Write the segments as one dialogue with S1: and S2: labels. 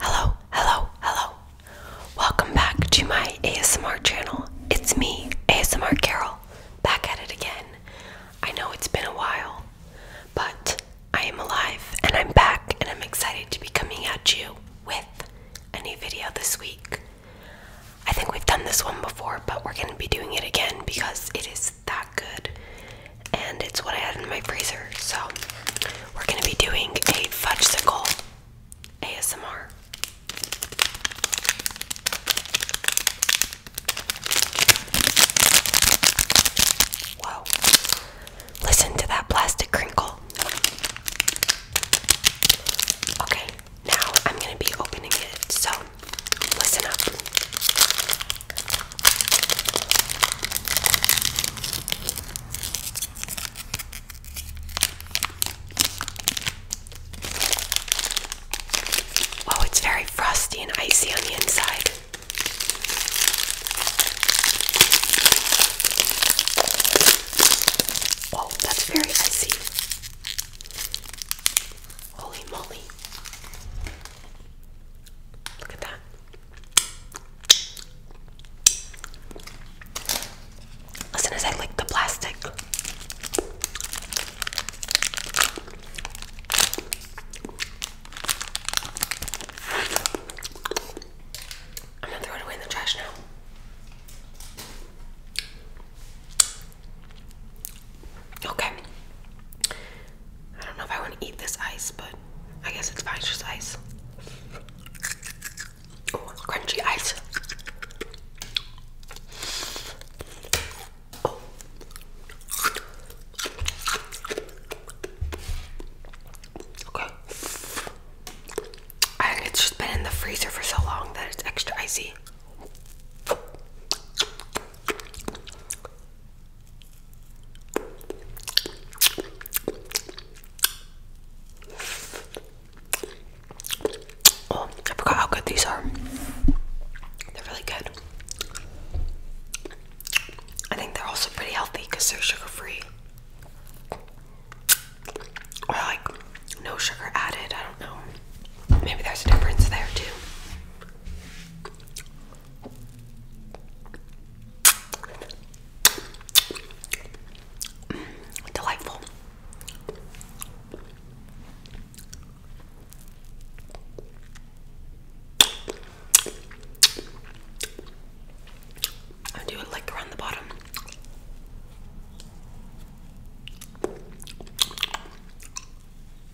S1: Hello, hello, hello. Welcome back to my ASMR channel. It's me, ASMR Carol, back at it again. I know it's been a while, but I am alive and I'm back and I'm excited to be coming at you with a new video this week. I think we've done this one before, but we're going to be doing it again because it is that good and it's what I had in my freezer. So we're gonna be doing a fudgesicle ASMR. Whoa. Listen to that plastic crinkle. Okay, now I'm going to be opening it, so listen up. Oh, it's very frosty and icy on the inside. Oh, that's very icy. Holy moly. Look at that. As soon as I lick the plastic, I'm gonna throw it away in the trash now. Okay. I don't know if I want to eat this ice, but I guess it's fine, it's Oh, crunchy ice. Okay. I think it's just been in the freezer for so long that it's extra icy. Oh, I forgot how good these are. They're really good. I think they're also pretty healthy because they're sugar free. Or like no sugar added, I don't know. Maybe there's a difference there too. Delightful. I'll do it like around the bottom.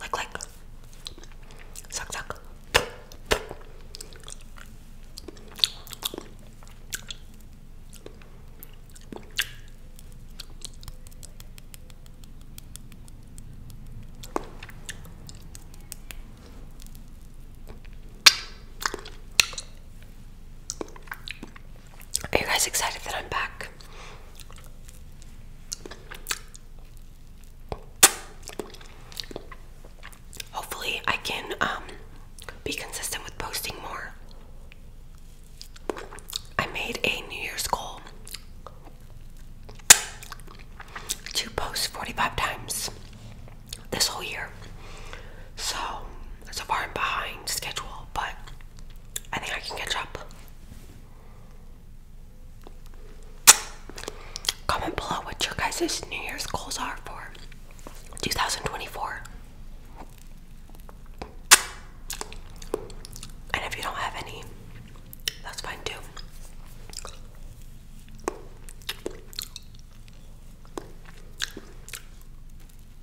S1: Like, like, suck, suck. Are you guys excited that I'm back? Hopefully, I can um, be consistent with posting more. I made a New Year's goal to post 45 times this whole year. So, so far I'm behind schedule, but I think I can catch up. Comment below what your guys' New Year's goals are for 2024. And if you don't have any, that's fine too.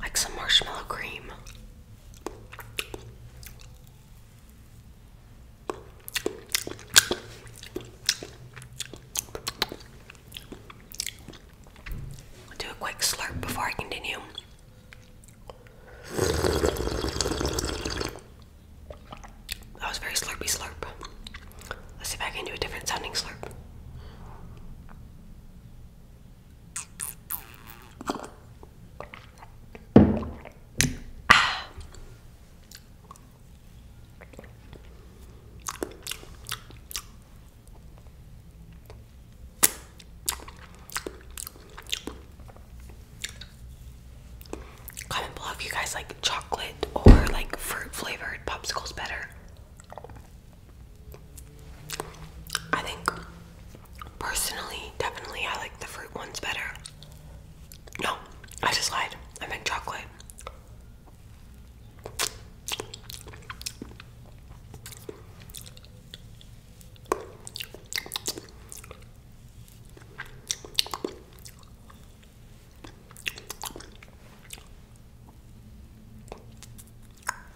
S1: Like some marshmallow cream. do a quick slurp before I continue. That was very slurpy slurp. Let's see if I can do a different sounding slurp. Comment below if you guys like chocolate or like fruit flavored popsicles better. I think personally, definitely, I like the fruit ones better. No, I just lied. I meant chocolate.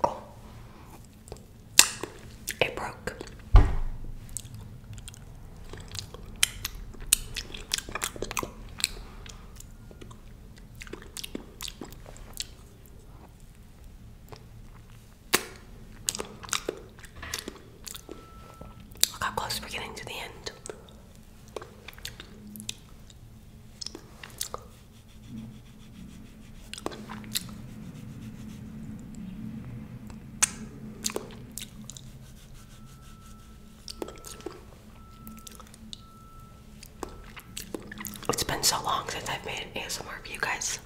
S1: Oh. It broke. Look how close we're getting to the end. It's been so long since I've made an ASMR for you guys.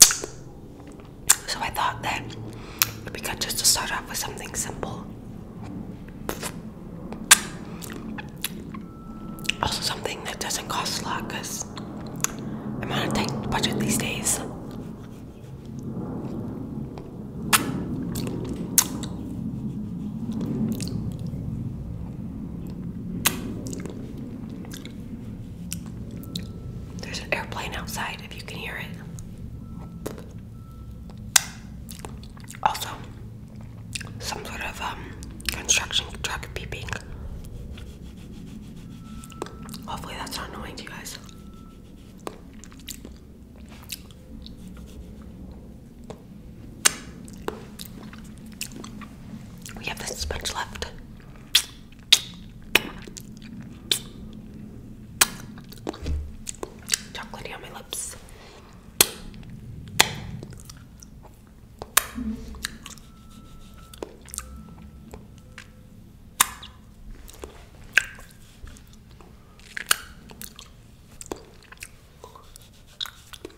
S1: So I thought that we could just start off with something simple. Also, something that doesn't cost a lot because I'm on a tight budget these days. There's an airplane outside if you can hear it. Also, some sort of um, construction truck beeping. Hopefully, that's not annoying to you guys. We have this much left. Chocolatey on my lips.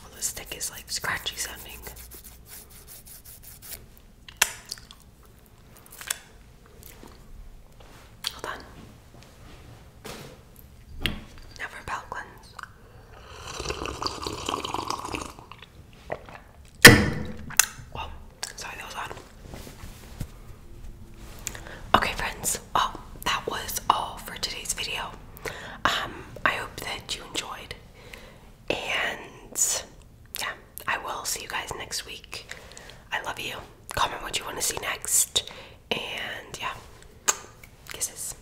S1: Well, this stick is like scratchy sounding. Hold on. Never belt cleanse that was Okay, friends. Oh, that was all for today's video. Um, I hope that you enjoyed, and yeah, I will see you guys next week. I love you. Comment what you want to see next, and yeah, kisses.